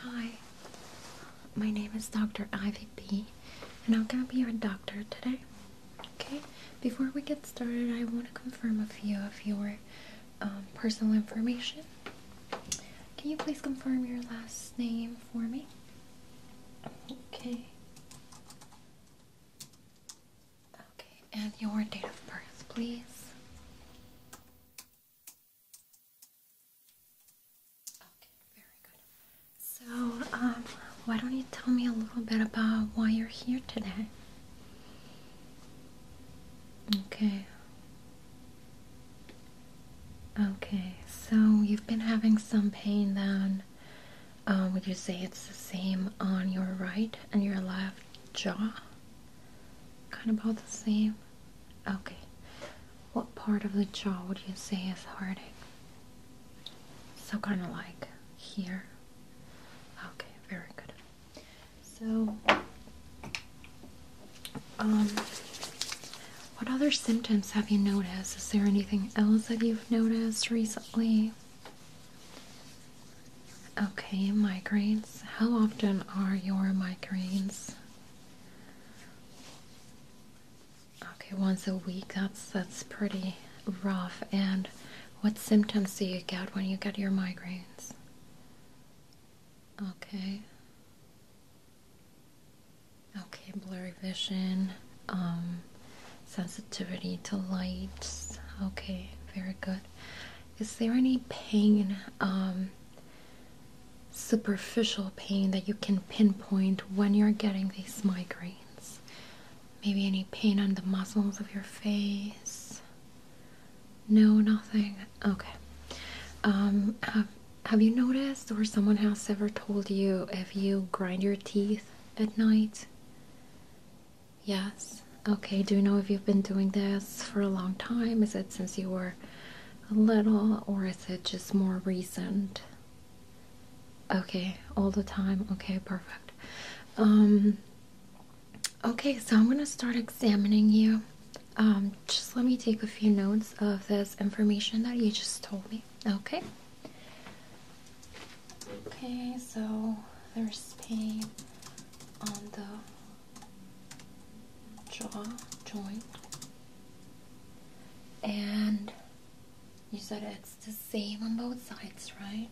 Hi, my name is Dr. Ivy B, and I'm gonna be your doctor today. Okay, before we get started, I want to confirm a few of your um, personal information. Can you please confirm your last name for me? Okay. Okay, and your date of birth, please. Okay, very good. So, um, why don't you tell me a little bit about why you're here today? Okay. Okay, so you've been having some pain then. Uh, would you say it's the same on your right and your left jaw? Kind of about the same? Okay. What part of the jaw would you say is hurting? So kind of like here? Okay, very good. So, um, what other symptoms have you noticed? Is there anything else that you've noticed recently? Okay, migraines. How often are your migraines? Okay, once a week. That's that's pretty rough. And what symptoms do you get when you get your migraines? Okay. Okay, blurry vision, um, sensitivity to lights. Okay, very good is there any pain, um, superficial pain that you can pinpoint when you're getting these migraines? Maybe any pain on the muscles of your face? No, nothing. Okay. Um, have have you noticed, or someone has ever told you, if you grind your teeth at night? Yes. Okay. Do you know if you've been doing this for a long time? Is it since you were a little, or is it just more recent? Okay, all the time. Okay, perfect. Um, okay, so I'm going to start examining you. Um, just let me take a few notes of this information that you just told me. Okay. Okay, so there's pain on the jaw joint and you said it's the same on both sides, right?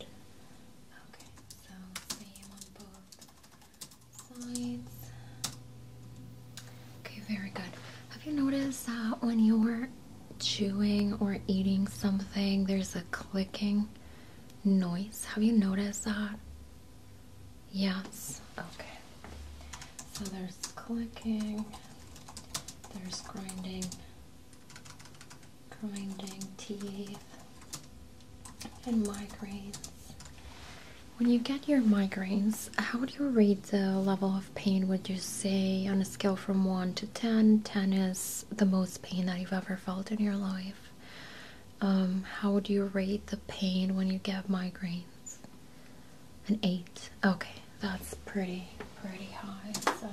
Okay, so same on both sides. Okay, very good. Have you noticed that when you're chewing or eating something, there's a clicking noise. Have you noticed that? Yes. Okay. So there's clicking, there's grinding, grinding teeth, and migraines. When you get your migraines, how would you rate the level of pain? Would you say on a scale from 1 to 10? 10 is the most pain that you've ever felt in your life, um, how would you rate the pain when you get migraines? An eight. Okay, that's pretty pretty high. So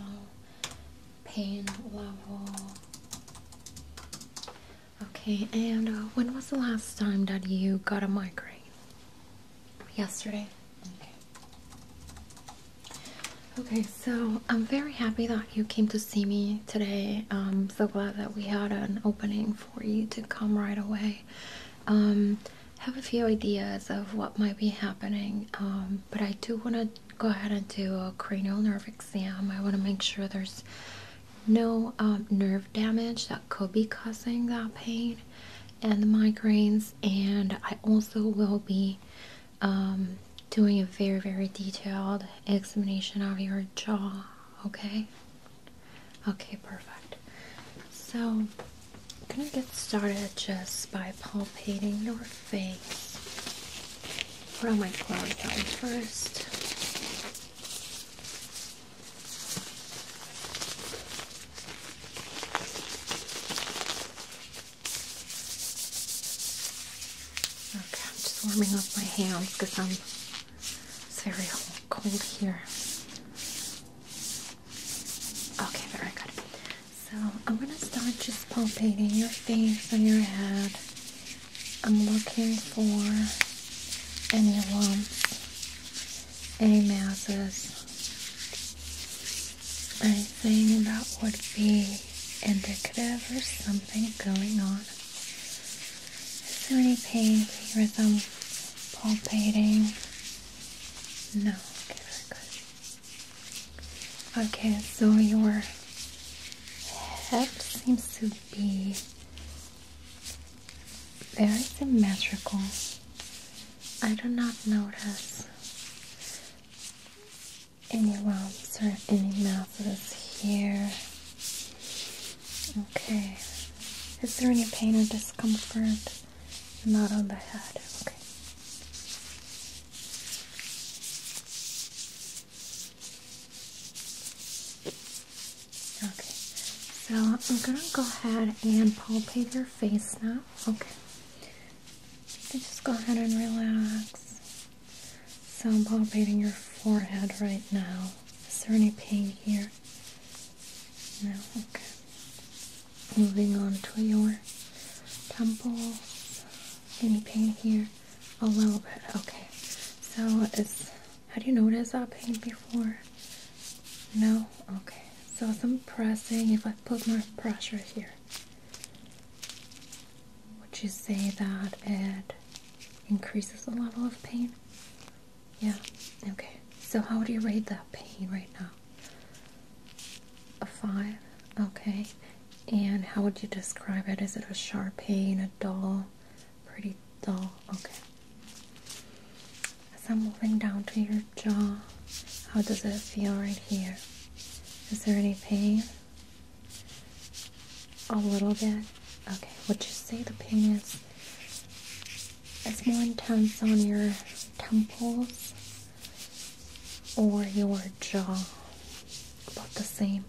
pain level. Okay, and uh, when was the last time that you got a migraine? Yesterday. Okay. Okay, so I'm very happy that you came to see me today. I'm um, so glad that we had an opening for you to come right away. Um, have a few ideas of what might be happening, um, but I do want to go ahead and do a cranial nerve exam. I want to make sure there's no um, nerve damage that could be causing that pain and the migraines, and I also will be doing a very, very detailed examination of your jaw, okay? Okay, perfect. So, I'm gonna get started just by palpating your face. Put on my gloves on first. Okay, I'm just warming up my hands because I'm it's very cold here. Okay, very good. So I'm gonna start just palpating your face and your head. I'm looking for any lumps, any masses, anything that would be indicative or something going on. Is pink any pain, palpating? No. Okay, very good. Okay, so your head seems to be very symmetrical. I do not notice any lumps or any masses here. Okay. Is there any pain or discomfort? Not on the head. Okay. Okay. So I'm gonna go ahead and palpate your face now. Okay. just go ahead and relax. So I'm palpating your forehead right now. Is there any pain here? No? Okay. Moving on to your temples. Any pain here? A little bit. Okay. So is had you noticed that pain before? No? Okay. So I'm pressing, if I put more pressure here, would you say that it increases the level of pain? Yeah, okay. So, how would you rate that pain right now? A five? Okay. And how would you describe it? Is it a sharp pain, a dull, pretty dull? Okay. As I'm moving down to your jaw, how does it feel right here? Is there any pain? A little bit? Okay, What you say the pain is it's more intense on your temples or your jaw? About the same.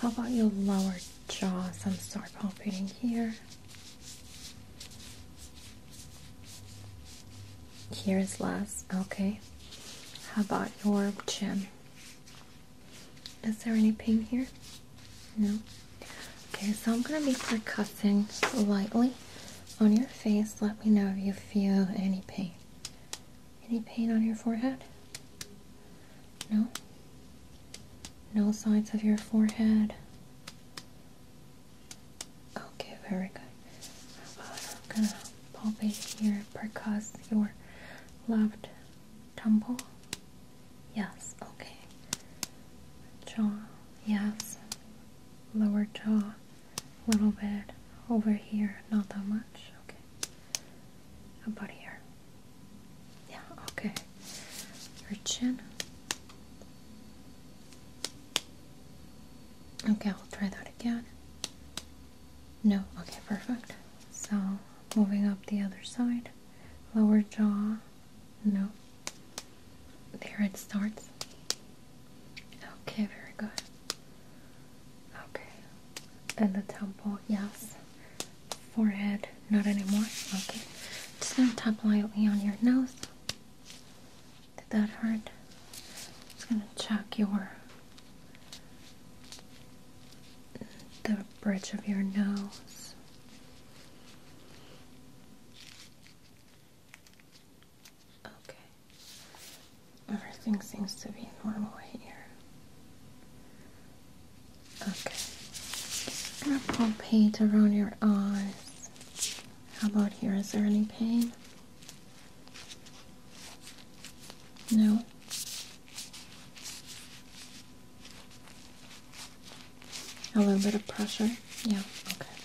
How about your lower jaw? Some start palpating here. Here is less. Okay. How about your chin? Is there any pain here? No. Okay, so I'm gonna be percussing lightly on your face. Let me know if you feel any pain. Any pain on your forehead? No? No sides of your forehead? Okay, very good. I'm gonna palpate here, percuss your left Tumble? Yes, okay. Jaw, yes. Lower jaw, a little bit. Over here, not that much. Okay. About here. Yeah, okay. Your chin. Okay, I'll try that again. No, okay, perfect. So Moving up the other side. Lower jaw. No. There it starts. Okay, very good. Okay. And the temple, yes. Forehead, not anymore. Okay. Just gonna tap lightly on your nose. Did that hurt? Just gonna check your the bridge of your nose. Okay. Everything seems to be normal here. Okay. I'm gonna paint around your eyes. How about here? Is there any pain? No? A little bit of pressure? Yeah, okay.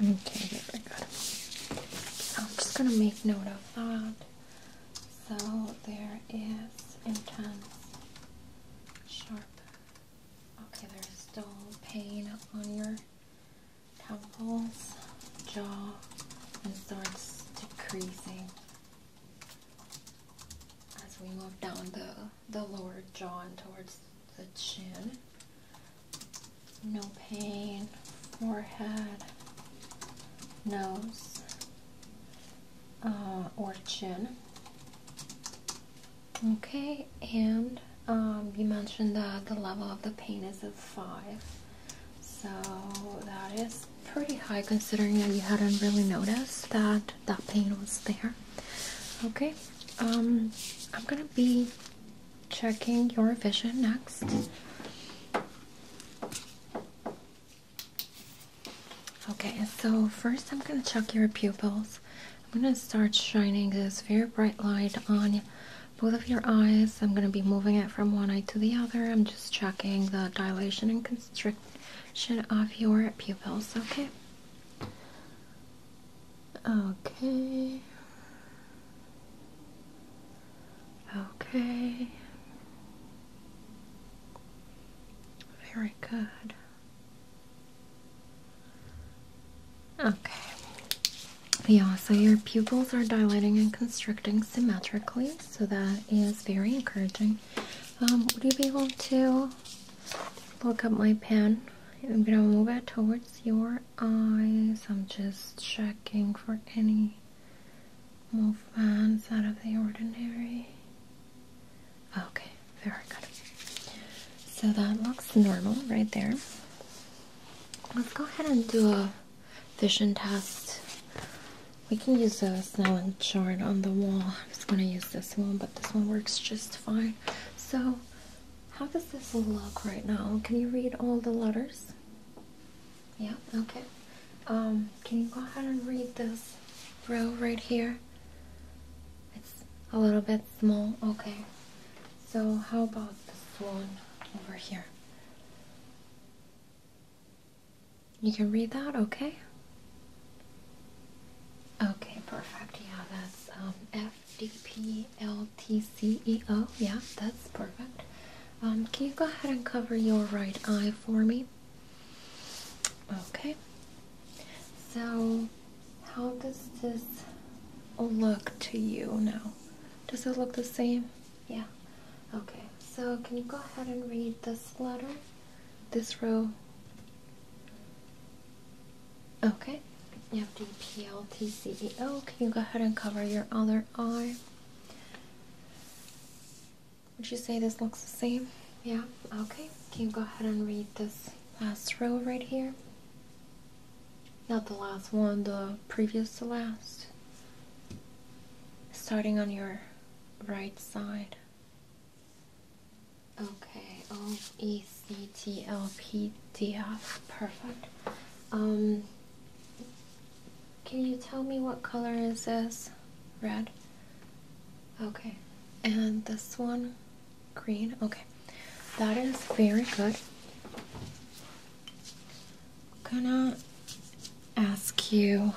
Okay, very good. So I'm just gonna make note of that. So there is intense, sharp. Okay, there's dull pain on your temples, jaw, and starts decreasing as we move down the, the lower jaw and towards the chin. No pain, forehead, nose, uh, or chin. Okay, and um, you mentioned that the level of the pain is at five, so that is pretty high considering that you hadn't really noticed that that pain was there. Okay, um, I'm gonna be checking your vision next. Okay, so first I'm gonna check your pupils. I'm gonna start shining this very bright light on you both of your eyes. I'm going to be moving it from one eye to the other. I'm just checking the dilation and constriction of your pupils, okay? Okay. Okay. Very good. Okay. Yeah, so your pupils are dilating and constricting symmetrically, so that is very encouraging. Um, would you be able to look up my pen? I'm gonna move it towards your eyes. I'm just checking for any movements out of the ordinary. Okay, very good. So that looks normal right there. Let's go ahead and do a vision test. We can use a spelling chart on the wall. I'm just going to use this one, but this one works just fine. So, how does this look right now? Can you read all the letters? Yeah, okay. Um, can you go ahead and read this row right here? It's a little bit small. Okay. So how about this one over here? You can read that, okay? Okay, perfect. Yeah, that's um, FDPLTCEO. Yeah, that's perfect. Um, can you go ahead and cover your right eye for me? Okay. So, how does this look to you now? Does it look the same? Yeah. Okay, so can you go ahead and read this letter? This row? Okay. You have the PLTCEO. Can you go ahead and cover your other eye? Would you say this looks the same? Yeah. Okay. Can you go ahead and read this last row right here? Not the last one, the previous to last. Starting on your right side. Okay, O E C T L P D F. Perfect. Um, can you tell me what color is this? Red. Okay. And this one, green. Okay that is very good. gonna ask you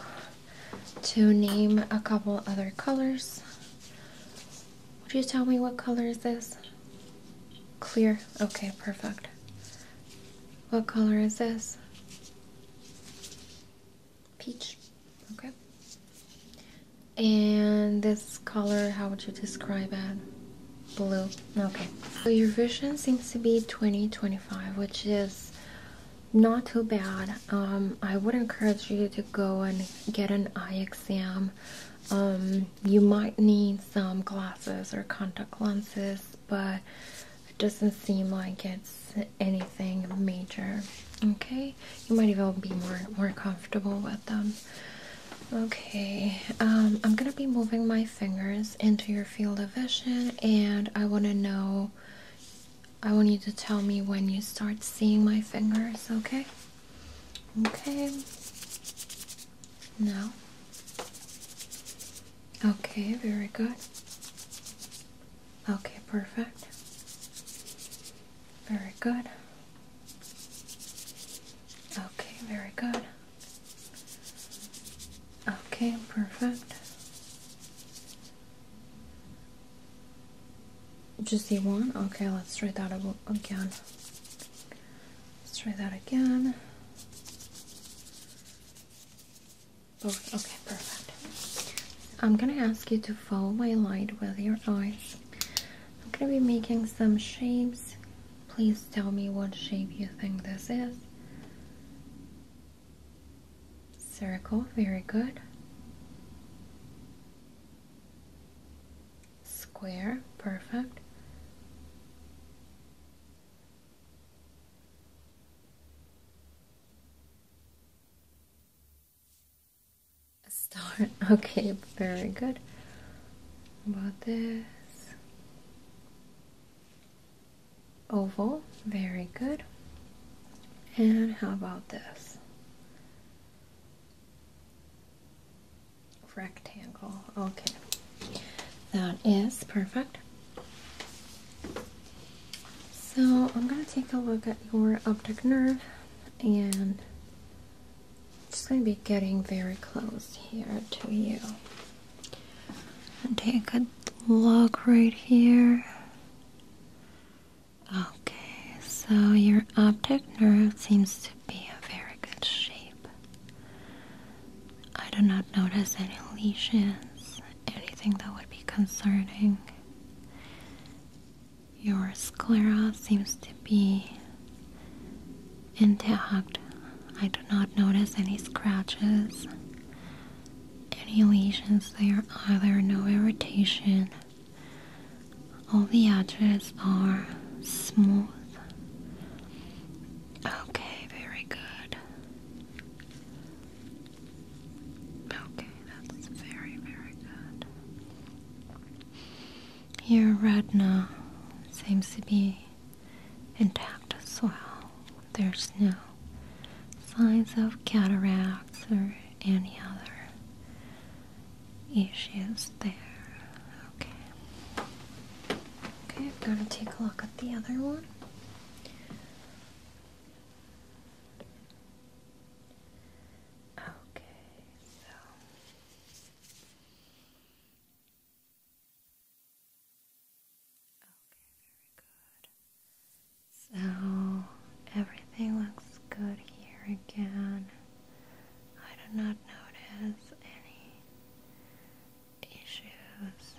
to name a couple other colors. Would you tell me what color is this? Clear. Okay, perfect. What color is this? Peach. Okay. And this color, how would you describe it? blue. Okay. So your vision seems to be 20-25, which is not too bad. Um, I would encourage you to go and get an eye exam. Um, you might need some glasses or contact lenses, but it doesn't seem like it's anything major. Okay, you might even be more more comfortable with them. Okay, um, I'm gonna be moving my fingers into your field of vision, and I want to know. I want you to tell me when you start seeing my fingers. Okay. Okay. No. Okay, very good. Okay, perfect. Very good. Okay, very good. Okay, perfect. Just the one? Okay, let's try that again. Let's try that again. Both. Okay, perfect. I'm gonna ask you to follow my light with your eyes. I'm gonna be making some shapes Please tell me what shape you think this is. Circle, very good. Square, perfect. star, okay, very good. about this? Oval, very good. And how about this? Rectangle, okay. That is perfect. So I'm going to take a look at your optic nerve and it's going to be getting very close here to you. take a look right here. Okay, so your optic nerve seems to be in very good shape. I do not notice any lesions, anything that would be concerning. Your sclera seems to be intact. I do not notice any scratches, any lesions there either, no irritation. All the edges are smooth. Okay, very good. Okay, that's very, very good. Your retina seems to be intact soil. There's no signs of cataracts or any other issues there. Okay. Okay, I'm gonna take a look at the other one. Okay, so Okay, very good. So everything looks good here again. I do not notice any issues,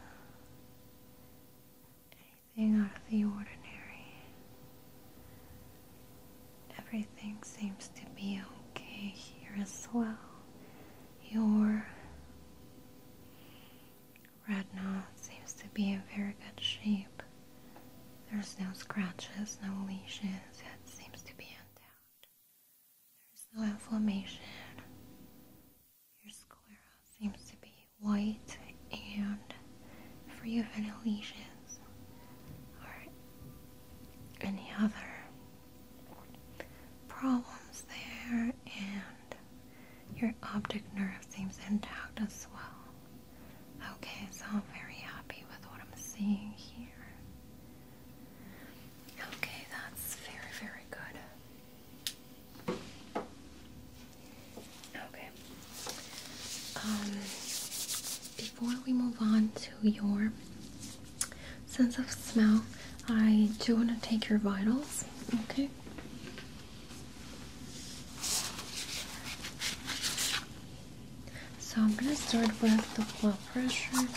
anything out of the ordinary. Everything seems to be okay here as well. Your retina seems to be in very good shape. There's no scratches, no lesions. It seems to be intact. There's no inflammation. Your sclera seems to be white and free of any lesions or any other problems there, and your optic nerve seems intact as well. Okay, so very happy with what I'm seeing here. Okay, that's very, very good. Okay. Um, before we move on to your sense of smell, I do want to take your vitals, okay? So I'm going to start with the blood pressure. I'm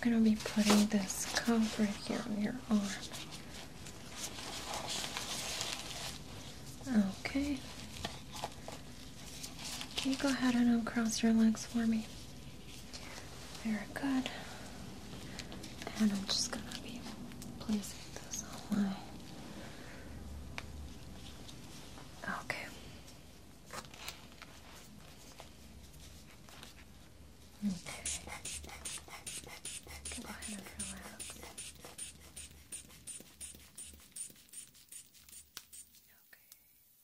going to be putting this cuff right here on your arm. Okay. Can you go ahead and uncross your legs for me? Very good. And I'm just gonna be placing this on my. Okay. Okay.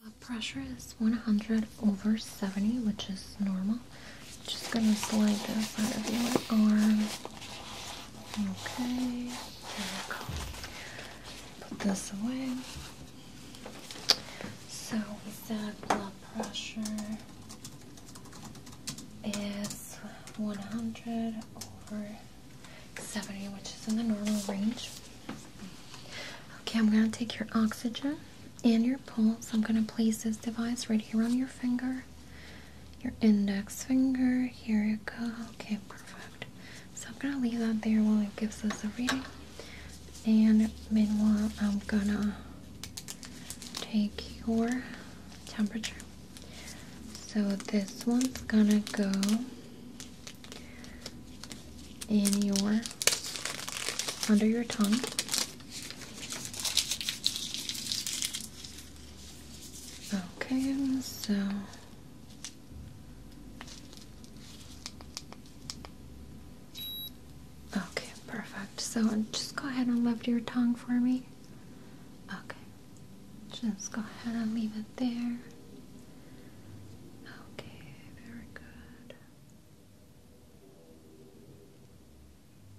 Blood pressure is 100 over 70, which is normal. Just gonna slide the out of your arm. Okay, there we go. Put this away. So we said blood pressure is 100 over 70, which is in the normal range. Okay, I'm going to take your oxygen and your pulse. I'm going to place this device right here on your finger, your index finger. Here you go. Okay, perfect. So I'm going to leave that there while it gives us a reading. And meanwhile, I'm going to take your temperature. So this one's going to go in your under your tongue. Okay, so Okay, perfect. So just go ahead and lift your tongue for me. Okay. Just go ahead and leave it there. Okay, very good.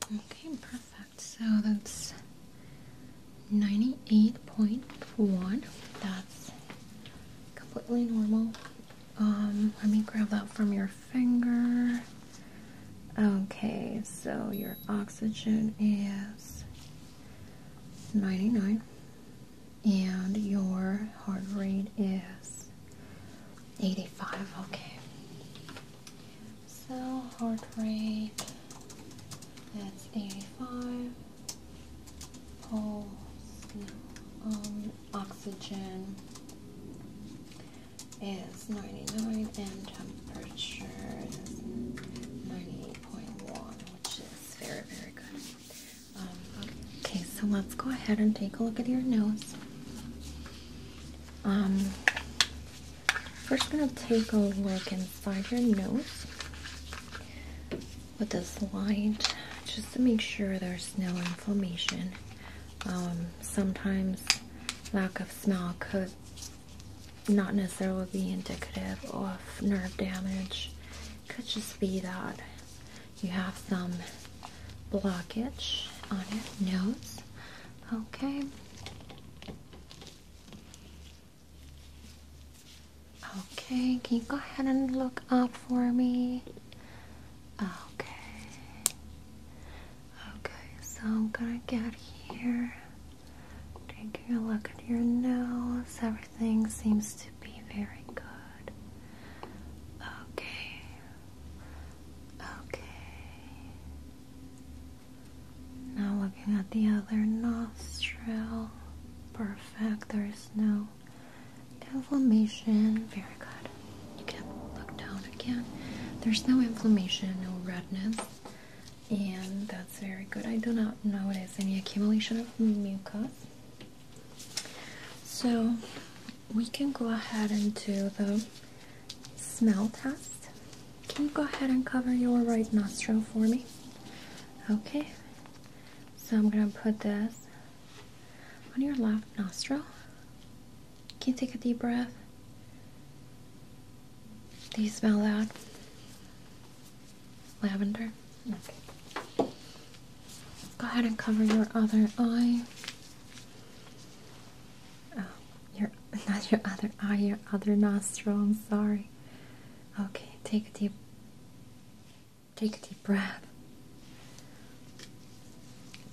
Okay, perfect. So that's 98.1. That's completely normal. Um, let me grab that from your finger. Okay, so your oxygen is 99 and your heart rate is 85. Okay, so heart rate that's 85. Pulse, um, oxygen is 99 and temperature is 98.1 which is very very good um, okay, so let's go ahead and take a look at your nose. Um, first, are going gonna take a look inside your nose with this light, just to make sure there's no inflammation. Um, sometimes lack of smell could not necessarily be indicative of nerve damage. Could just be that you have some blockage on your nose. Okay. Okay, can you go ahead and look up for me? Okay. Okay, so I'm gonna get here. Taking a look at your nose, Everything seems to be very good. Okay. Okay. Now looking at the other nostril. Perfect. There is no inflammation. Very good. You can look down again. There's no inflammation, no redness. And that's very good. I do not notice any accumulation of mucus. So we can go ahead and do the smell test. Can you go ahead and cover your right nostril for me? Okay. So I'm gonna put this on your left nostril. Can you take a deep breath? Do you smell that? Lavender. Okay. Go ahead and cover your other eye. Oh, your not your other eye, your other nostril. I'm sorry. Okay, take a deep take a deep breath.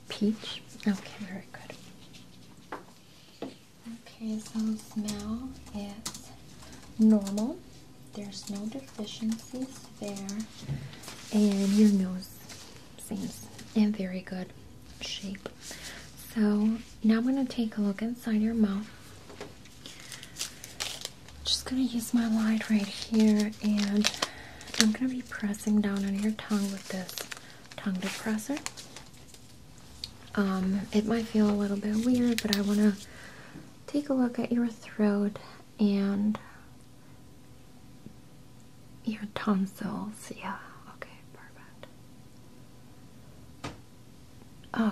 Peach. Okay, very good. Okay, so smell is normal. There's no deficiencies there. And your nose seems in very good shape. So now I'm going to take a look inside your mouth. Just going to use my light right here and I'm going to be pressing down on your tongue with this tongue depressor. Um, it might feel a little bit weird, but I want to take a look at your throat and your tonsils. Yeah, okay, perfect.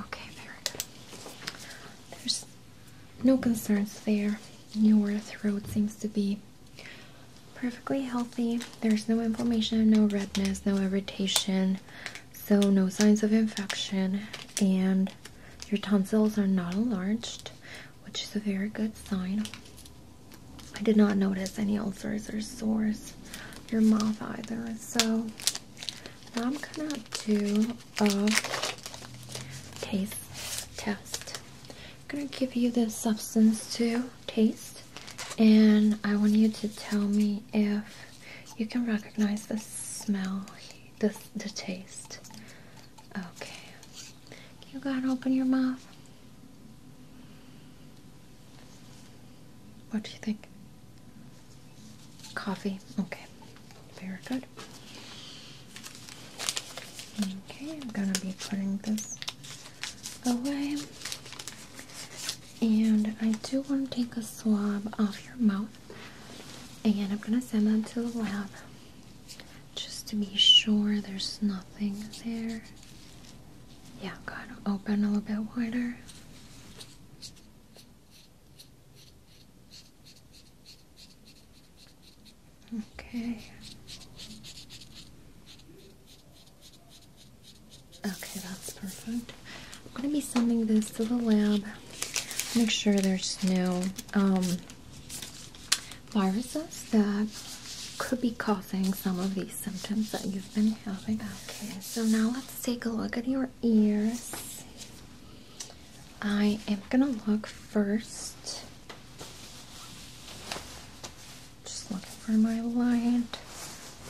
Okay, very good. There's no concerns there. Your throat seems to be perfectly healthy. There's no inflammation, no redness, no irritation, so no signs of infection, and your tonsils are not enlarged, which is a very good sign. I did not notice any ulcers or sores. Your mouth either. So now I'm gonna do a taste test. I'm gonna give you this substance to taste, and I want you to tell me if you can recognize the smell, this the taste. Okay. You gotta open your mouth. What do you think? Coffee? Okay. Very good. Okay, I'm gonna be putting this away. And I do want to take a swab off your mouth. And I'm gonna send that to the lab just to be sure there's nothing there. Yeah, gotta open a little bit wider. Okay. Okay, that's perfect. I'm gonna be sending this to the lab. Make sure there's no um, viruses that could be causing some of these symptoms that you've been having. Okay, so now let's take a look at your ears. I am gonna look first. Just looking for my light.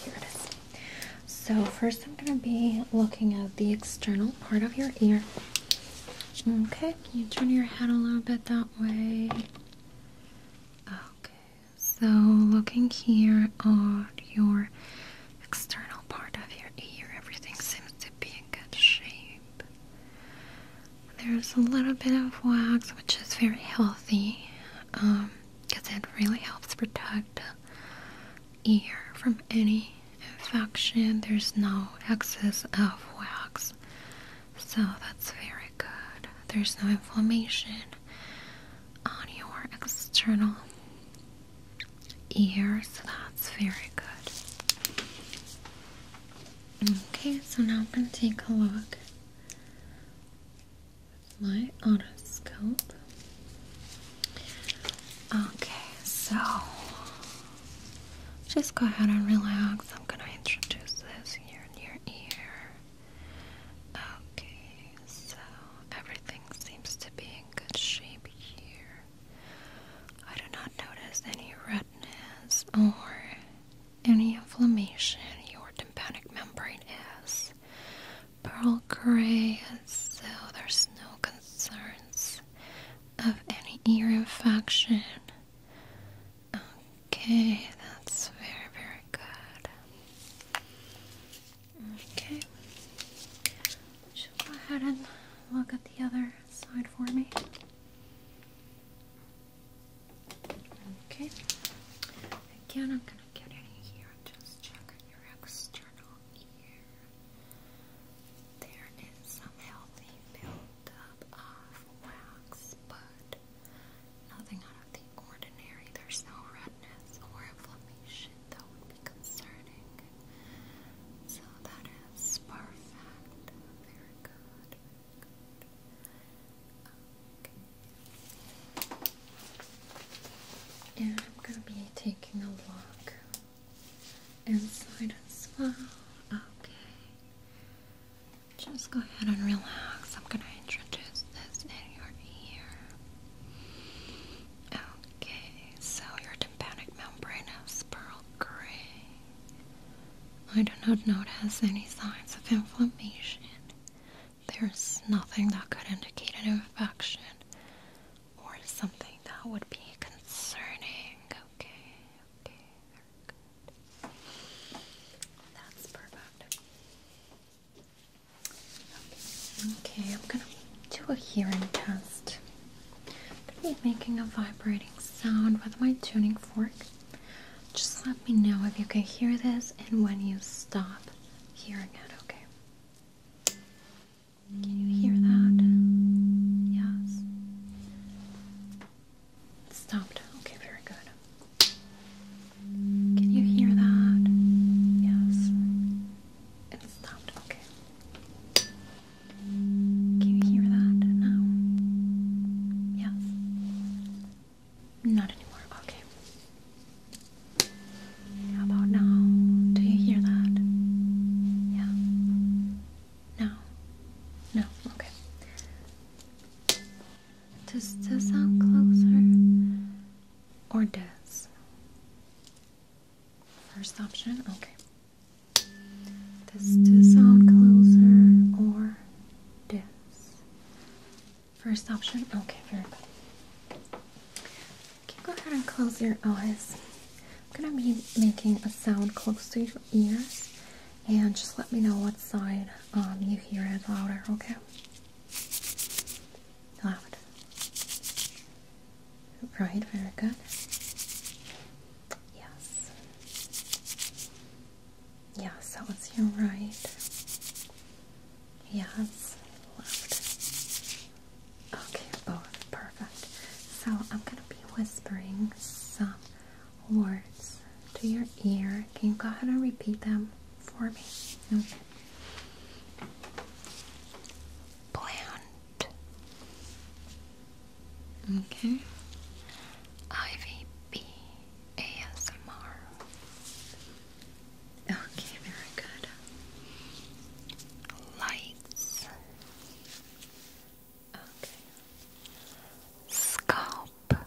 Here it is. So, first, I'm gonna be looking at the external part of your ear. Okay, can you turn your head a little bit that way? Okay, so looking here at your external part of your ear, everything seems to be in good shape. There's a little bit of wax, which is very healthy because um, it really helps protect the ear from any infection, there's no excess of wax, so that's very good. There's no inflammation on your external ears. that's very good. Okay, so now I'm going to take a look with my otoscope. Okay, so just go ahead and relax. I'm gonna introduce this here in your ear. Okay, so everything seems to be in good shape here. I do not notice any redness or any inflammation. Your tympanic membrane is pearl gray, so there's no concerns of any ear infection. Okay, that's very, very good. Okay. Just go ahead and look at the other side for me. Okay. Again, I'm gonna get in here and just check your external ear. There is some healthy buildup of wax, but nothing out of the ordinary. There's no redness or inflammation that would be concerning. So that is perfect. Very good. Very good. Okay. And I'm going to be taking a look inside as well. Okay. Just go ahead and relax. I'm gonna introduce this in your ear. Okay, so your tympanic membrane is pearl gray. I do not notice any signs of inflammation. There's nothing that could indicate an infection or something that would be concerning. Okay okay, very good. That's perfect. Okay, I'm gonna do a hearing test. I'm gonna be making a vibrating sound with my tuning fork. Just let me know if you can hear this and when you stop hearing it, okay? Can you hear that? Yes. It stopped. Okay, very good. Can you hear that? Yes. It stopped. Okay. Can you hear that now? Yes. Not anymore. Okay. How about now? Do you hear that? Yeah. No. No. Okay. Does the sound closer? Or does? First option? Okay. Does the sound closer or does? First option? Okay, very good. Okay, go ahead and close your eyes. I'm gonna be making a sound close to your ears, and just let me know what side um, you hear it louder. Okay. Loud. Right. Very good. Yes. Yeah, so it's your right. Yes. Left. Okay, both. So I'm gonna be whispering some words to your ear. Can you go ahead and repeat them for me? Okay. Plant. Okay. IVB ASMR. Okay, very good. Lights. Scalp. Okay,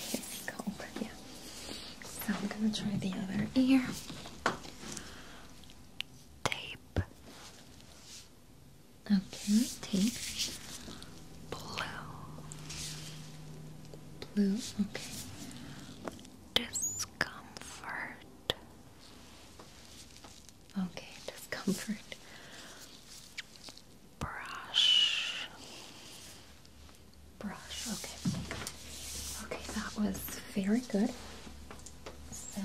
scalp, yeah. So I'm gonna try the other ear. Tape. Okay, tape. Blue. Blue, okay. Discomfort. Okay, discomfort. Brush. Brush, okay. Okay, that was very good. So,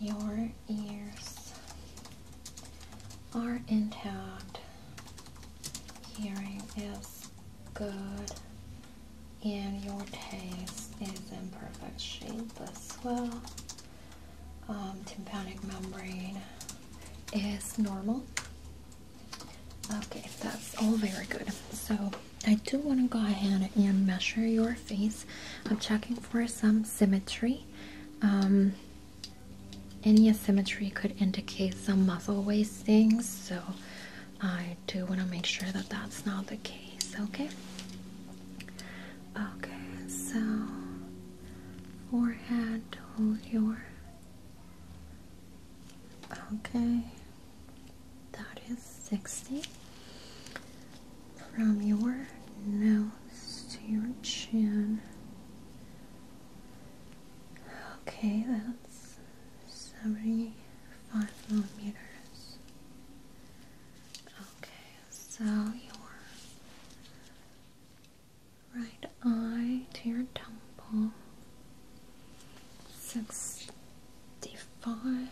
your ears are intact. Hearing is good and your taste is in perfect shape as well. Um, tympanic membrane is normal. Okay, that's all very good. So I do want to go ahead and measure your face. I'm checking for some symmetry. Um, any asymmetry could indicate some muscle wasting, so I do want to make sure that that's not the case, okay? Okay, so forehead, hold your. Okay, that is 60. From your nose to your chin. Okay, that's 70 five millimeters. Okay, so your right eye to your temple sixty five.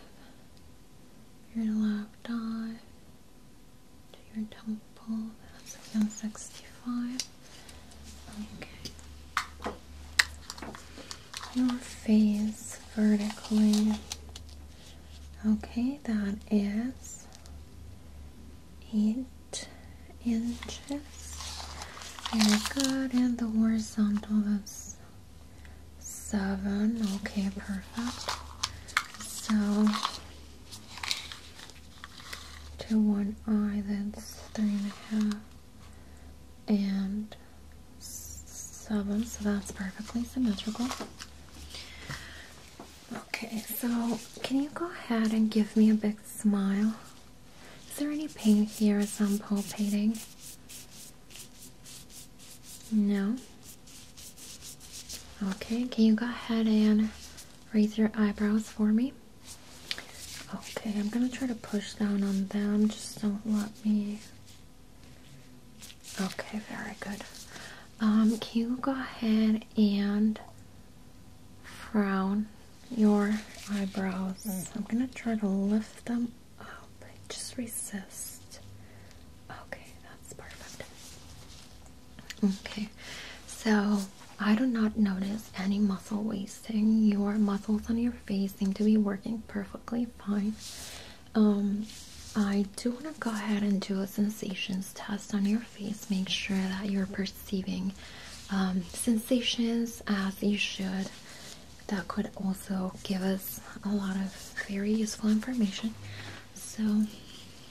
Your left eye to your temple, that's again sixty five. Okay your face vertically. Okay, that is eight inches. Very good. And the horizontal is seven. Okay, perfect. So to one eye, that's three and a half. And seven, so that's perfectly symmetrical. Okay, so can you go ahead and give me a big smile? Is there any pain here as I'm palpating? No? Okay, can you go ahead and raise your eyebrows for me? Okay, I'm gonna try to push down on them, just don't let me Okay, very good. Um, can you go ahead and frown your eyebrows? Mm-hmm. I'm gonna try to lift them up. Just resist. Okay, that's perfect. Okay, so I do not notice any muscle your muscles on your face seem to be working perfectly fine. Um, I do want to go ahead and do a sensations test on your face, make sure that you're perceiving um, sensations as you should. That could also give us a lot of very useful information. So,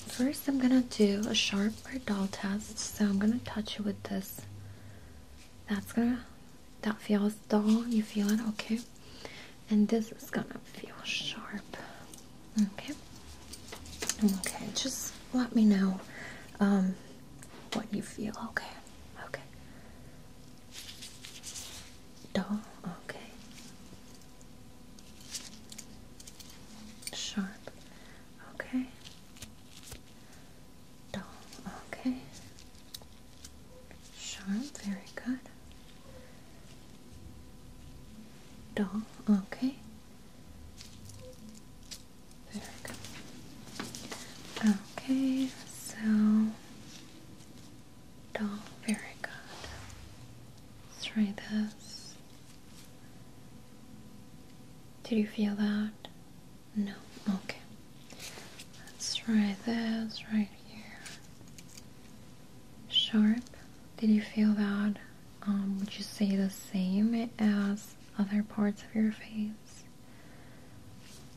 first, I'm gonna do a sharp or dull test. So, I'm gonna touch you with this. That's gonna that feels dull. You feel it? Okay. And this is gonna feel sharp. Okay. Okay, just let me know um, what you feel. Okay. Okay. Dull. Okay. Sharp. Okay. Dull. Okay. Sharp. Very good. Dull. Okay. Very good. Okay. So. Dull. Very good. try this. Did you feel that? No, okay. Let's try this right here. Sharp. Did you feel that? Um, would you say the same as other parts of your face?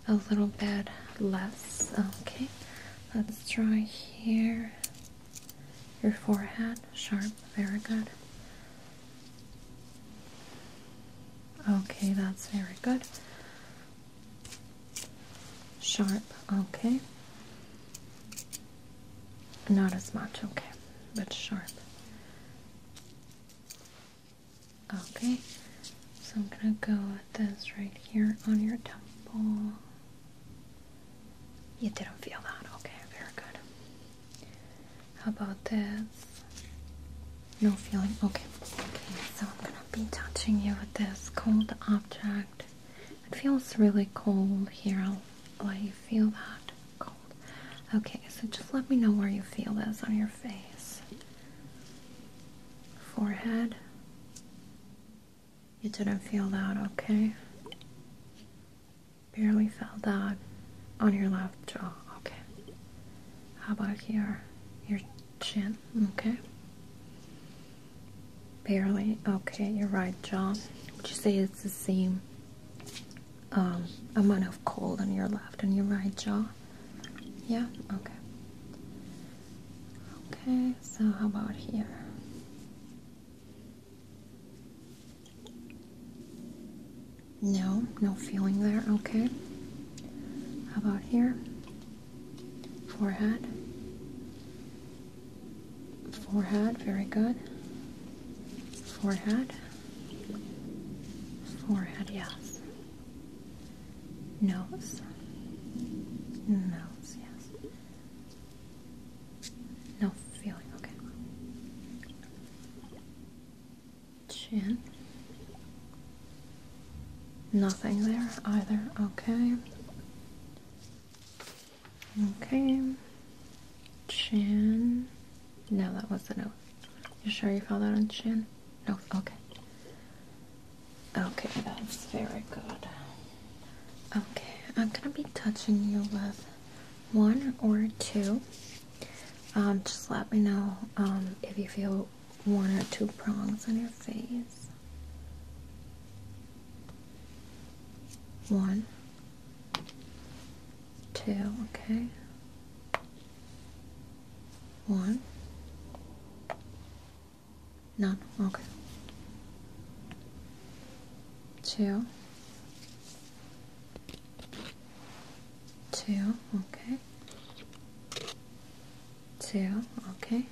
A little bit less. Okay. Let's try here. Your forehead. Sharp. Very good. Okay, that's very good. Sharp, okay. Not as much, okay, but sharp. Okay, so I'm gonna go with this right here on your temple. You didn't feel that, okay, very good. How about this? No feeling? Okay. Okay, so I'm gonna be touching you with this cold object. It feels really cold here. I'll let you feel that cold. Okay, so just let me know where you feel this on your face. Forehead. You didn't feel that, okay? Barely felt that on your left jaw, okay. How about here? Your Chin, okay. Barely, okay, you're right, John. Would you say it's the same um, amount of cold on your left and your right jaw? Yeah, okay. Okay, so how about here? No, no feeling there, okay. How about here? forehead, forehead, very good, forehead, forehead, yes, nose, nose, yes, no feeling, okay chin. Nothing there either. Okay. Okay. Chin. No, that was the note. You sure you found that on chin? No. Okay. Okay, that's very good. Okay, I'm gonna be touching you with one or two. Um, just let me know um, if you feel one or two prongs on your face. One, two, okay. One, none, okay. Two, two, okay two, okay.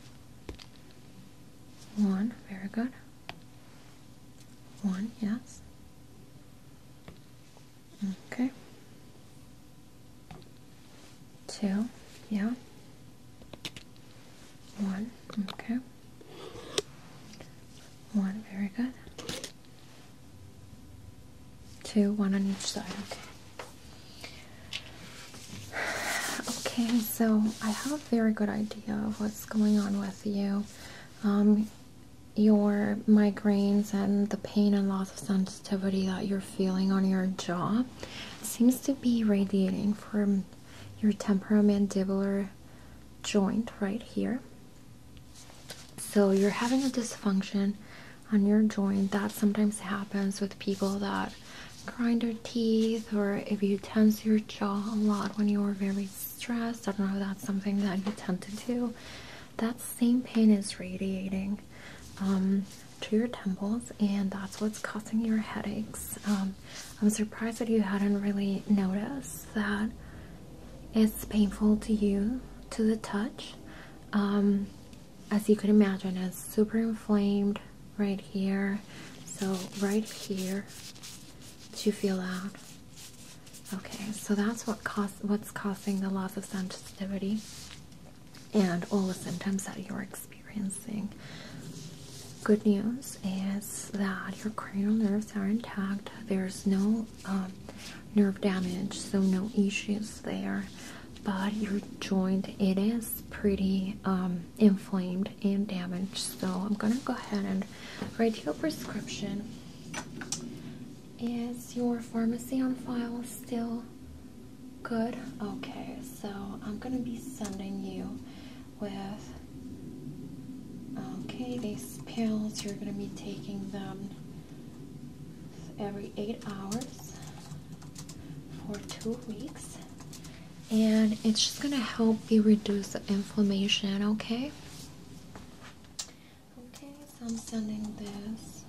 One, very good. One, yes. Okay. Two, yeah. One, okay. One, very good. Two, one on each side, okay. Okay, so I have a very good idea of what's going on with you. Um, your migraines and the pain and loss of sensitivity that you're feeling on your jaw seems to be radiating from your temporomandibular joint right here. So you're having a dysfunction on your joint. That sometimes happens with people that grind their teeth or if you tense your jaw a lot when you are very stressed. I don't know if that's something that you tend to do. That same pain is radiating um, to your temples and that's what's causing your headaches. Um, I'm surprised that you hadn't really noticed that it's painful to you to the touch. Um, as you can imagine it's super inflamed right here so right here to feel out okay so that's what cause what's causing the loss of sensitivity and all the symptoms that you're experiencing good news is that your cranial nerves are intact there's no um, nerve damage so no issues there but your joint it is pretty um, inflamed and damaged so i'm gonna go ahead and write your prescription is your pharmacy on file still good okay so i'm gonna be sending you with okay these pills you're gonna be taking them every eight hours for two weeks and it's just gonna help you reduce the inflammation okay okay so i'm sending this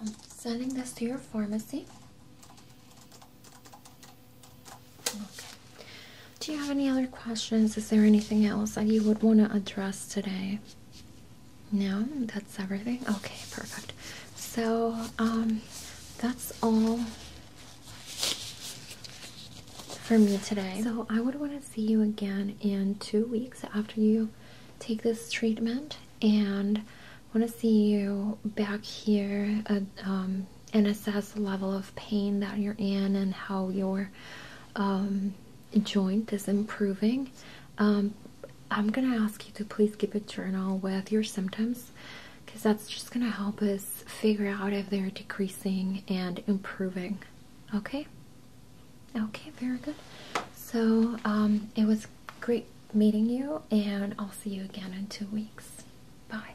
i'm sending this to your pharmacy okay do you have any other questions? Is there anything else that you would want to address today? No, that's everything. Okay, perfect. So, um, that's all for me today. So, I would want to see you again in two weeks after you take this treatment, and want to see you back here and um, assess the level of pain that you're in and how your um, joint is improving. Um, I'm gonna ask you to please keep a journal with your symptoms because that's just gonna help us figure out if they're decreasing and improving. Okay, okay, very good. So, um, it was great meeting you, and I'll see you again in two weeks. Bye.